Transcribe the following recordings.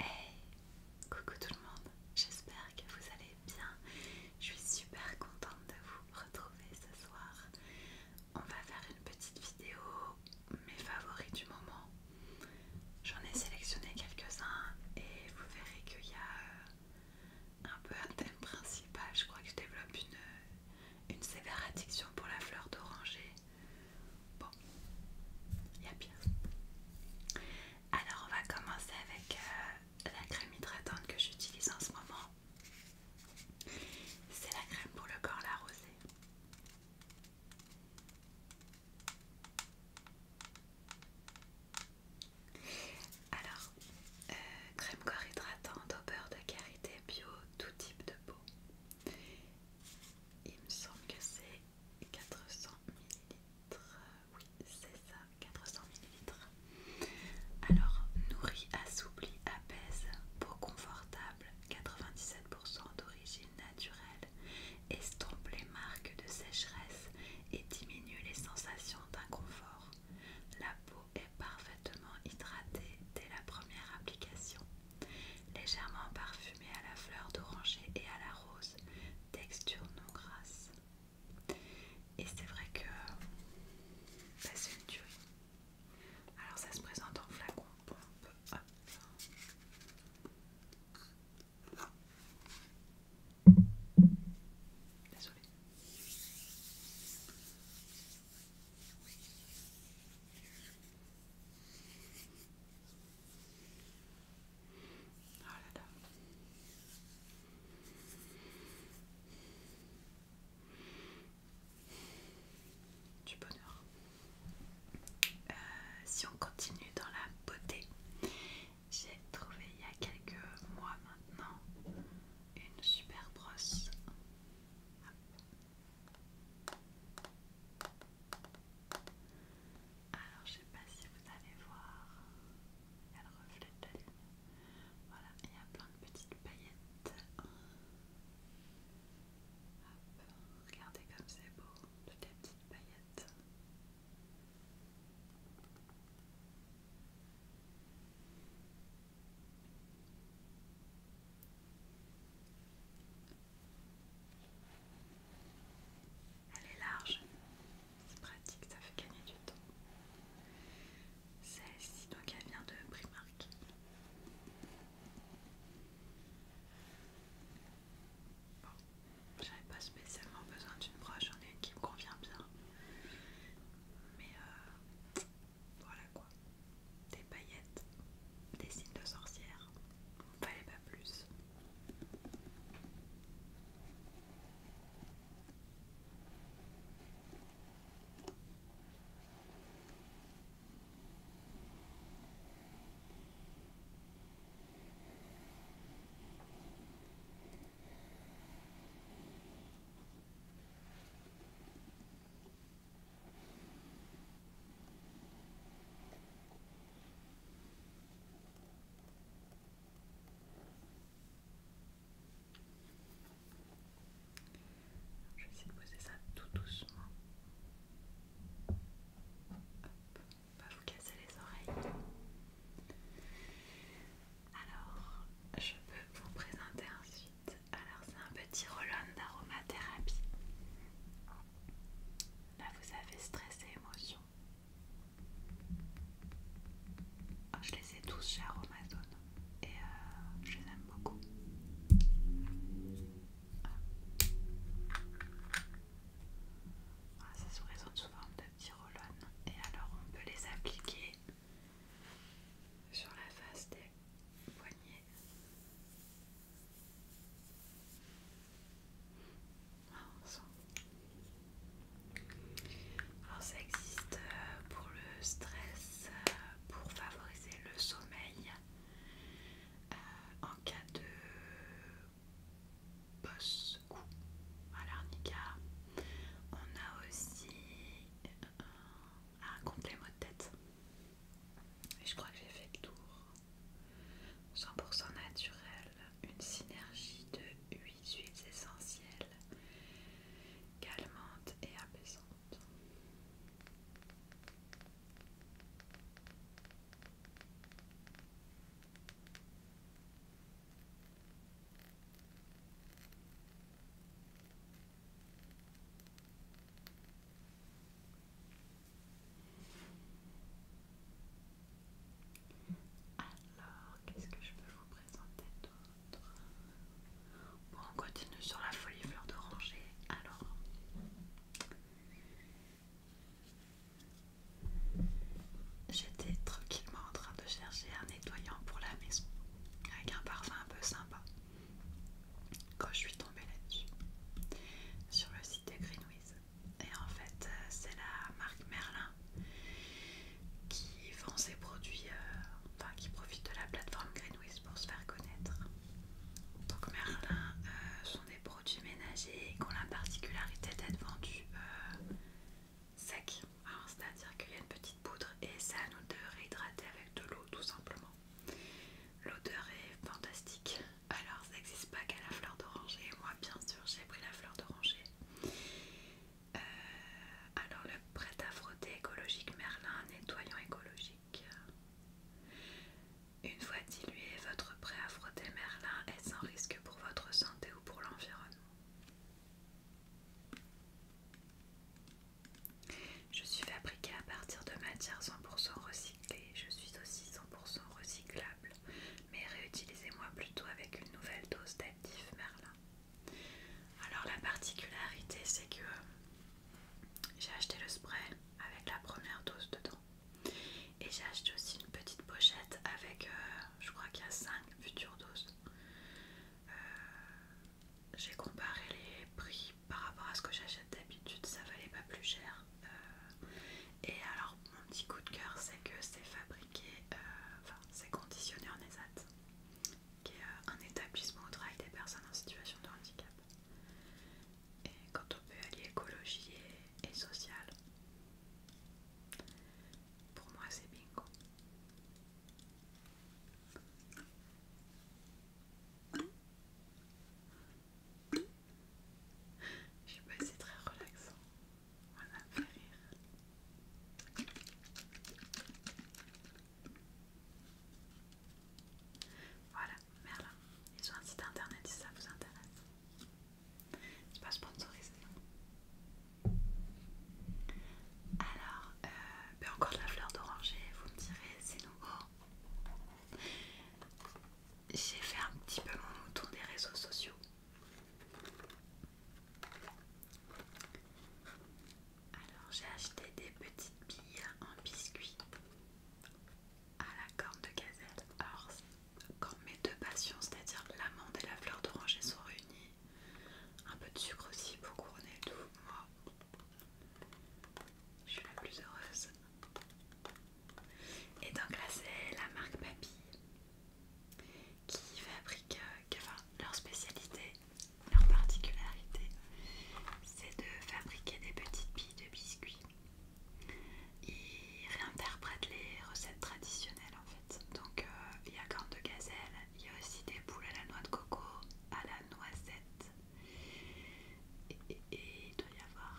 Hey, coucou tout le monde, j'espère que vous allez bien. Je suis super contente de vous retrouver ce soir. On va faire une petite vidéo, mes favoris du moment. J'en ai sélectionné quelques-uns et vous verrez qu'il y a euh, un peu un thème principal. Je crois que je développe une une sévère addiction pour la fleur d'oranger. Bon, il y a bien. Alors, on va commencer avec euh, la crème hydratante que j'utilise en ce moment. C'est la crème pour le corps la rosée. Alors, euh, crème corps hydratante au beurre de karité bio, tout type de peau. Il me semble que c'est 400 ml. Oui, c'est ça, 400 ml. Alors, nourrit, assouplit, apaise, peau confortable, 97% d'origine naturelle, estompe les marques de sécheresse et diminue les sensations d'inconfort. La peau est parfaitement hydraté dès la première application, légèrement parfumé à la fleur d'oranger et à la rose, texture non grasse. Et c'est vrai que ça bah, c'est une tuerie. Alors ça se présente en flacon Désolée. Du bonheur. Euh, si on continue dans la beauté, j'ai trouvé il y a quelques mois maintenant une super brosse alors, je sais pas si vous allez voir, il y a le reflet de la lune. Voilà, il y a plein de petites paillettes. regardez comme c'est beau, toutes les petites paillettes. Elle est large, c'est pratique, ça fait gagner du temps. Celle-ci, donc elle vient de Primark. Bon, j'avais pas spécialement besoin d'une broche, j'en ai une qui me convient bien. Mais euh, voilà quoi. Des paillettes, des signes de sorcière. Fallait pas plus. Je vais essayer de poser ça tout doucement. pas vous casser les oreilles. Alors, je peux vous présenter ensuite. Alors, c'est un petit roll-on d'aromathérapie. Là, vous avez stress et émotion. Oh, je les ai tous chez Aromazone et euh, je les aime beaucoup. Ah, ça se présente sous forme de petits roll-on et alors on peut les appliquer sur la face des poignets. Ah, Alors ça existe euh, pour le stress, euh, pour favoriser le sommeil, euh, en cas de boss coup. à l'arnica. On a aussi raconter ah, les mots de tête. Et je crois que j'ai fait le tour. 100% naturel, une synergie de 8 huiles essentielles, calmantes et apaisantes. Alors, qu'est-ce que je peux vous présenter d'autre Bon, on continue sur la folie fleur d'oranger. Alors, j'étais tranquillement en train de chercher un nettoyant pour la maison avec un parfum un peu sympa. Quand je suis tombée là-dessus, sur le site de Greenwiz, et en fait, euh, c'est la marque Merlin qui vend ses produits, euh, enfin qui profite de la plateforme Greenwiz pour se faire connaître. Donc, Merlin euh, sont des produits ménagers qui ont la particularité d'être vendus sec. C'est-à-dire qu'il y a une petite poudre et ça nous de réhydrater avec de l'eau tout simplement. L'odeur est fantastique. Alors ça n'existe pas qu'à la fleur d'oranger. Moi bien sûr j'ai pris la fleur d'oranger. Euh, alors le prêt à frotter écologique Merlin, nettoyant écologique. Une fois dilué, votre prêt à frotter Merlin est sans risque pour votre santé ou pour l'environnement. Je suis fabriquée à partir de matières 100% recyclées. Je suis aussi 100% recyclable. Mais réutilisez-moi plutôt avec une nouvelle dose d'actif Merlin. Alors la particularité c'est que euh, j'ai acheté le spray avec la première dose dedans. Et j'ai acheté aussi une petite pochette avec euh, je crois qu'il y a 5 futures doses. Euh, j'ai comparé les prix par rapport à ce que j'achète d'habitude, ça valait pas plus cher. Euh, et alors, mon petit coup de cœur, c'est que c'est fabriqué, euh, enfin, c'est conditionné en ESAT, qui est un établissement au travail des personnes en situation de handicap. Et quand on peut allier écologie et, et sociale, pour moi, c'est bingo. Je sais pas, c'est très relaxant. Voilà, a fait rire. Voilà, Merlin. Ils ont un site internet si ça vous intéresse. C'est pas sponsorisé. Alors, euh, ben encore de la fleur d'oranger, vous me direz, c'est nouveau. J'ai fait un petit peu mon mouton des réseaux sociaux. Alors, j'ai acheté des petites billes en biscuit à la corne de gazelle. Alors, quand mes deux passions, c'est-à-dire l'amande et la fleur d'oranger sont réunies, un peu de sucre aussi pour couronner le tout, moi je suis la plus heureuse. Et donc là c'est la marque Papy qui fabrique, euh, enfin leur spécialité, leur particularité c'est de fabriquer des petites billes de biscuits ils réinterprète les recettes traditionnelles en fait. Donc euh, il y a corne de gazelle, il y a aussi des boules à la noix de coco, à la noisette, et, il doit y avoir.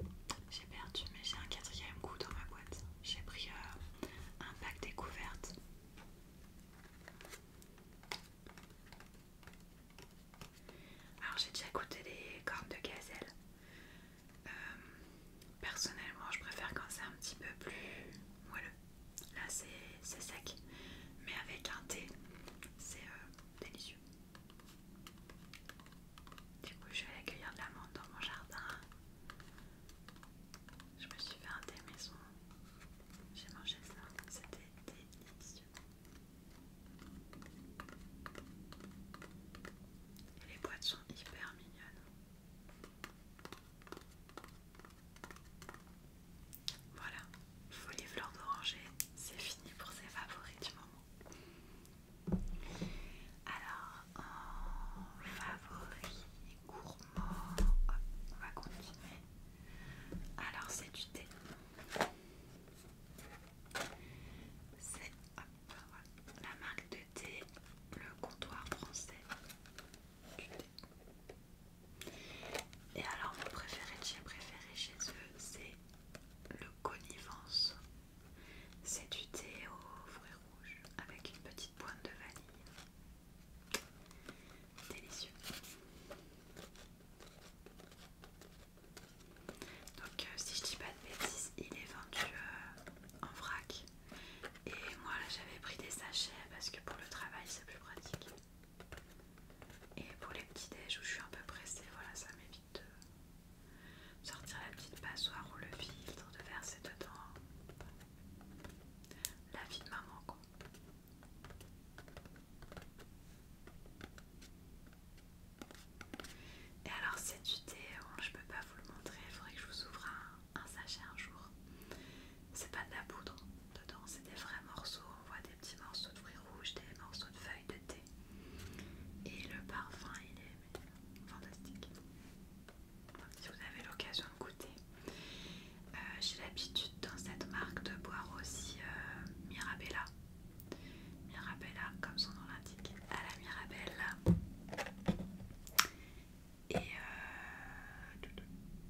Euh, j'ai perdu, mais j'ai un quatrième goût dans ma boîte. J'ai pris euh, un pack découverte. Alors j'ai déjà goûté les cornes de gazelle. Euh, personnellement, je préfère quand c'est un petit peu plus moelleux. Là, c'est sec, mais avec un thé, c'est euh, délicieux. Du coup, je vais accueillir de l'amande dans mon jardin. Je me suis fait un thé maison. J'ai mangé ça, c'était délicieux. Les boîtes sont hyper mignonnes. Voilà, Folie les d'oranger, c'est fini pour ces favoris du moment. Alors, en favori gourmand, on va continuer. Alors, c'est du thé. C'est la marque de thé, le comptoir français du thé. Et alors mon préféré de chez préféré chez eux, c'est le connivence. C'est du thé aux fruits rouges avec une petite pointe de vanille. Délicieux. Donc, euh, si je dis pas de bêtises, il est vendu euh, en vrac. Et moi, là, j'avais pris des sachets parce que pour le travail, c'est plus pratique. Et pour les petits déj où je suis un peu pressée, voilà, ça m'évite de sortir la petite passoire ou le filtre, de verser dedans. La vie de maman, quoi. Et alors c'est du thé hein, je peux pas vous le montrer, il faudrait que je vous ouvre un, sachet un jour. C'est pas de la poudre dedans, c'est des vrais morceaux, on voit des petits morceaux de fruits rouges, des morceaux de feuilles de thé. Et le parfum il est fantastique. si vous avez l'occasion de goûter. Euh, j'ai l'habitude dans cette marque de boire aussi euh, Mirabella. Mirabella, comme son nom l'indique, à la Mirabelle. Et euh,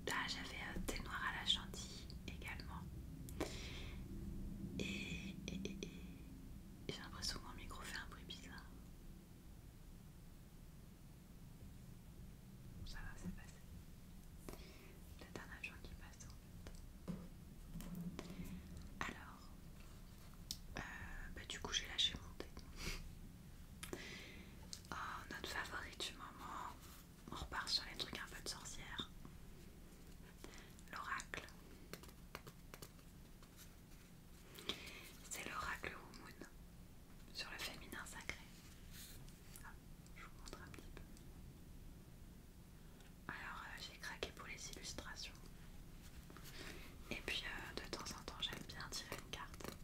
ben, j'avais des noirs à la chantilly également. Et, j'ai l'impression que mon micro fait un bruit bizarre. Ça va, c'est passé. Peut-être un agent qui passe. Alors, euh, bah, du coup j'ai lâché mon oh, notre favori du moment. On repart sur les trucs un peu de sorcière. L'oracle. C'est l'oracle Moon sur le féminin sacré. Ah, je vous montre un petit peu. Alors euh, j'ai craqué pour les illustrations. Et puis euh, de temps en temps j'aime bien tirer une carte.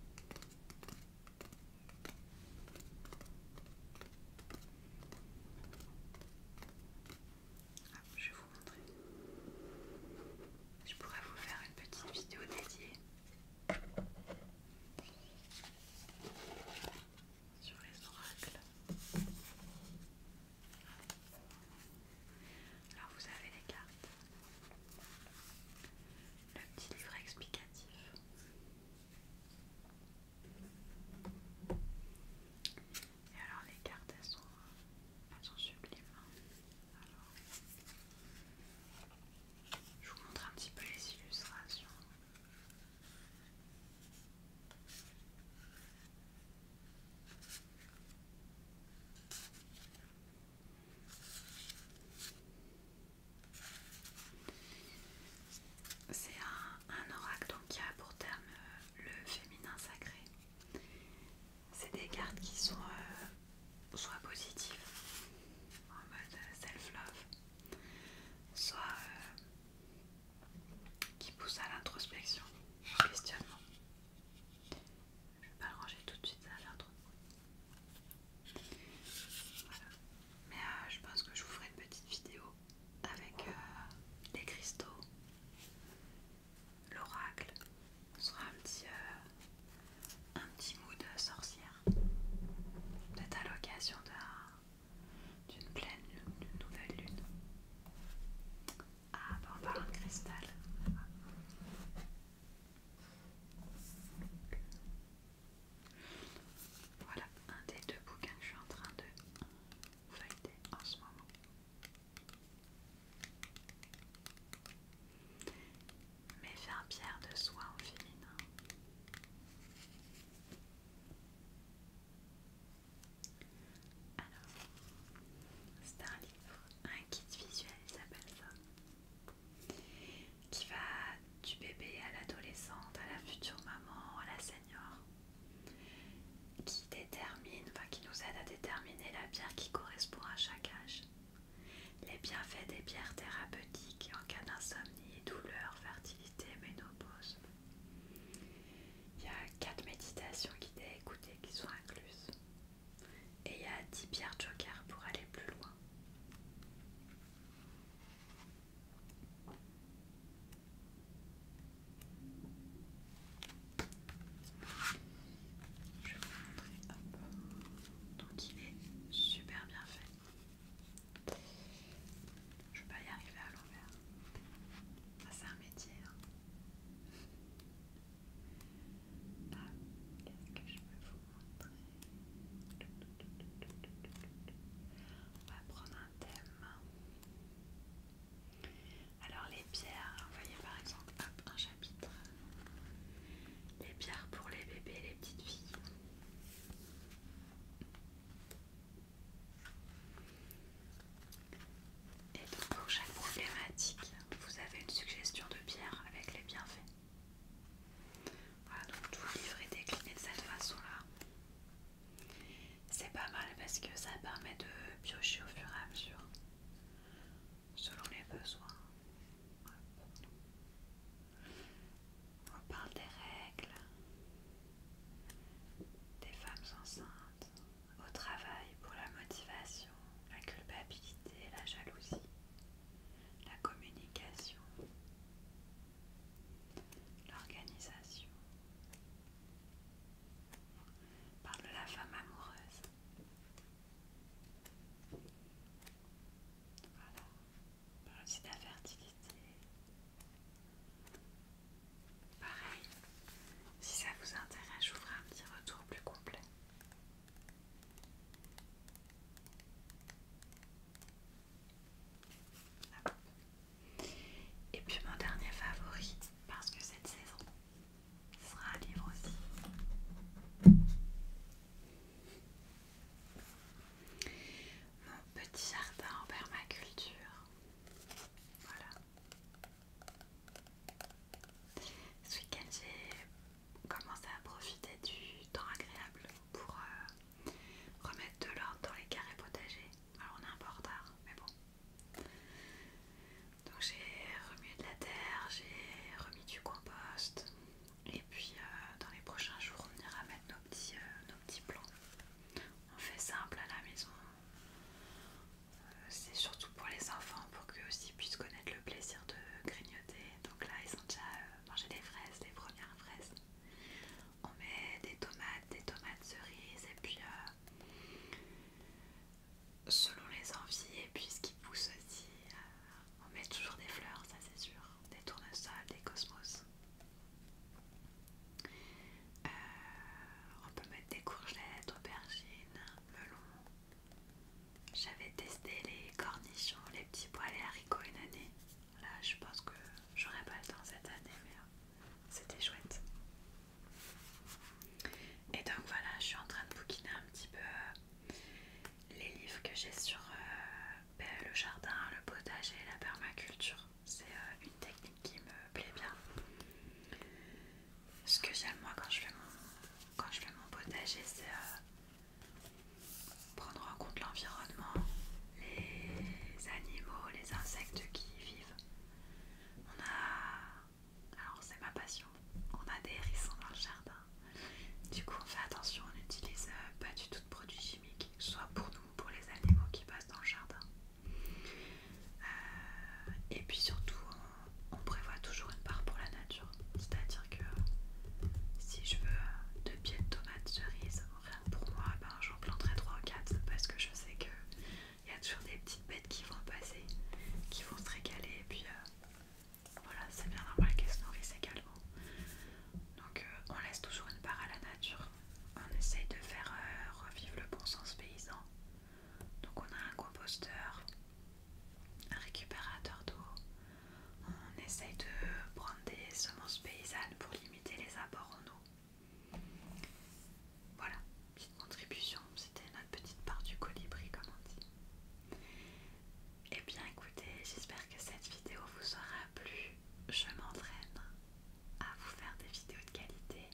je vais vous montrer. Je pourrais vous faire une petite vidéo dédiée sur les oracles. Alors vous avez les cartes, le petit livre explicatif, et alors les cartes elles sont, sont sublimes. Hein. Alors, je vous montre un petit peu les illustrations. C'est un, oracle donc qui a pour terme euh, le féminin sacré. C'est des cartes qui sont euh, soit positives, en mode euh, self-love, soit qui pousse à l'introspection, au questionnement. Je ne vais pas le ranger tout de suite, ça l'intro. Mais euh, je pense que je vous ferai une petite vidéo avec euh, les cristaux, l'oracle. Ce sera un petit, euh, un petit mood sorcière. Peut-être à l'occasion d'un d'une pleine lune, d'une nouvelle lune. Ah, bah on parle un cristal. Voilà un des deux bouquins que je suis en train de feuilleter en ce moment. Mais faire pierre de soie au féminin. Alors, c'est un livre, un kit visuel, il s'appelle ça, qui va du bébé à l'adolescente, à la future maman, à la senior, qui détermine, enfin qui nous aide à déterminer la bière qui correspond à chaque âge, les bienfaits des bières thérapeutiques en cas d'insomnie, douleur, fertilité, ménopause. Il y a 4 méditations qui à écouter qui sont incluses. Et il y a 10 pierres joker pour aller plus loin. Je vais vous montrer. peu. Donc il est super bien fait. Je vais pas y arriver à l'envers. Ça c'est un métier. Hein. Qu'est-ce que je peux vous montrer On va prendre un thème. Alors les pierres, vous voyez par exemple, hop, un chapitre. Les pierres pour les bébés et les petites filles. Et pour chaque problématique, vous avez une suggestion de pierre avec les bienfaits. Voilà, donc tout le livre est décliné de cette façon-là. C'est pas mal parce que ça permet de piocher au fur et à mesure, selon les besoins. On parle des règles, des femmes enceintes, au travail pour la motivation, la culpabilité, la jalousie, la communication, l'organisation. On parle de la femme amoureuse. Voilà aussi la fertilité. Pareil, si ça vous intéresse, je vous ferai un petit retour plus complet. Et puis mon dernier favori, parce que cette saison, sera un livre aussi. Mon petit jardin en permaculture. Voilà. Ce week-end, j'ai commencé à profiter du temps agréable pour euh, remettre de l'ordre dans les carrés potagers. Alors, on est un peu en retard, mais bon. Donc, j'ai remis de la terre, j'ai remis du compost. Et puis euh, dans les prochains jours, on ira mettre nos petits, plombs. Euh, plans. On fait simple à la maison. Euh, c'est surtout pour les enfants, pour qu'ils aussi puissent connaître le plaisir de grignoter. Donc là, ils ont déjà mangés mangé des fraises, les premières fraises. On met des tomates, des tomates cerises, et puis selon les envies, et puis ce qui pousse aussi. On met toujours des fleurs, ça c'est sûr, des tournesols, des cosmos. Euh, on peut mettre des courgettes, aubergines, melons. J'avais testé les cornichons, les petits pois, et haricots une année. Là, je pense que j'aurais pas le temps cette année, mais euh, c'était chouette. Et donc voilà, je suis en train de bouquiner un petit peu euh, les livres que j'ai sur euh, ben, le jardin, le potager, la permaculture. C'est euh, une technique qui me plaît bien. Ce que j'aime moi quand je fais mon, quand je potager, c'est euh, prendre en compte l'environnement, les animaux, les insectes qui y vivent. On a... Alors c'est ma passion. On a des hérissons dans le jardin. Du coup, on fait attention, on n'utilise euh, pas du tout de produits chimiques, soit pour nous ou pour les animaux qui passent dans le jardin. Euh, et puis surtout, on, prévoit toujours une part pour la nature. C'est-à-dire que si je veux deux pieds de tomates cerises, rien que pour moi, ben, j'en planterai trois ou quatre parce que je sais que il y a toujours des petites bêtes qui vont passer, qui vont se régaler et puis euh, voilà, c'est bien normal qu'elle se nourrissent également. Donc euh, on laisse toujours une part à la nature. On essaye de faire euh, revivre le bon sens paysan. Donc on a un composteur, un récupérateur d'eau. On essaye de prendre des semences paysannes pour limiter les apports en eau. Voilà, petite contribution, c'était notre petite part du colibri comme on dit. Eh bien écoutez, j'espère que cette vidéo vous aura plu. Je m'entraîne à vous faire des vidéos de qualité.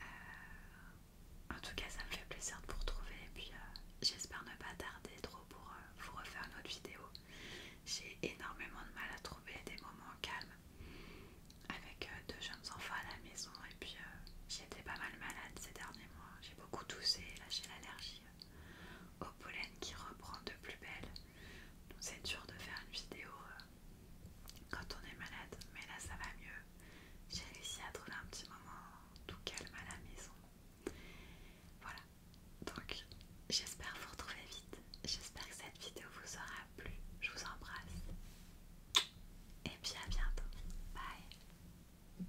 Euh, en tout cas, ça me fait plaisir de vous retrouver. Et puis, euh, j'espère ne pas tarder trop pour euh, vous refaire une autre vidéo. J'ai énormément de mal à trouver des moments calmes avec deux jeunes enfants à la maison. Et puis, j'étais pas mal malade ces derniers mois. J'ai beaucoup toussé, là j'ai l'allergie au pollen qui reprend de plus belle. c'est dur de faire une vidéo euh, quand on est malade, mais là ça va mieux. J'ai réussi à trouver un petit moment tout calme à la maison. Voilà, donc j'espère vous retrouver vite. J'espère que cette vidéo vous aura plu. Je vous embrasse. Et puis à bientôt. Bye.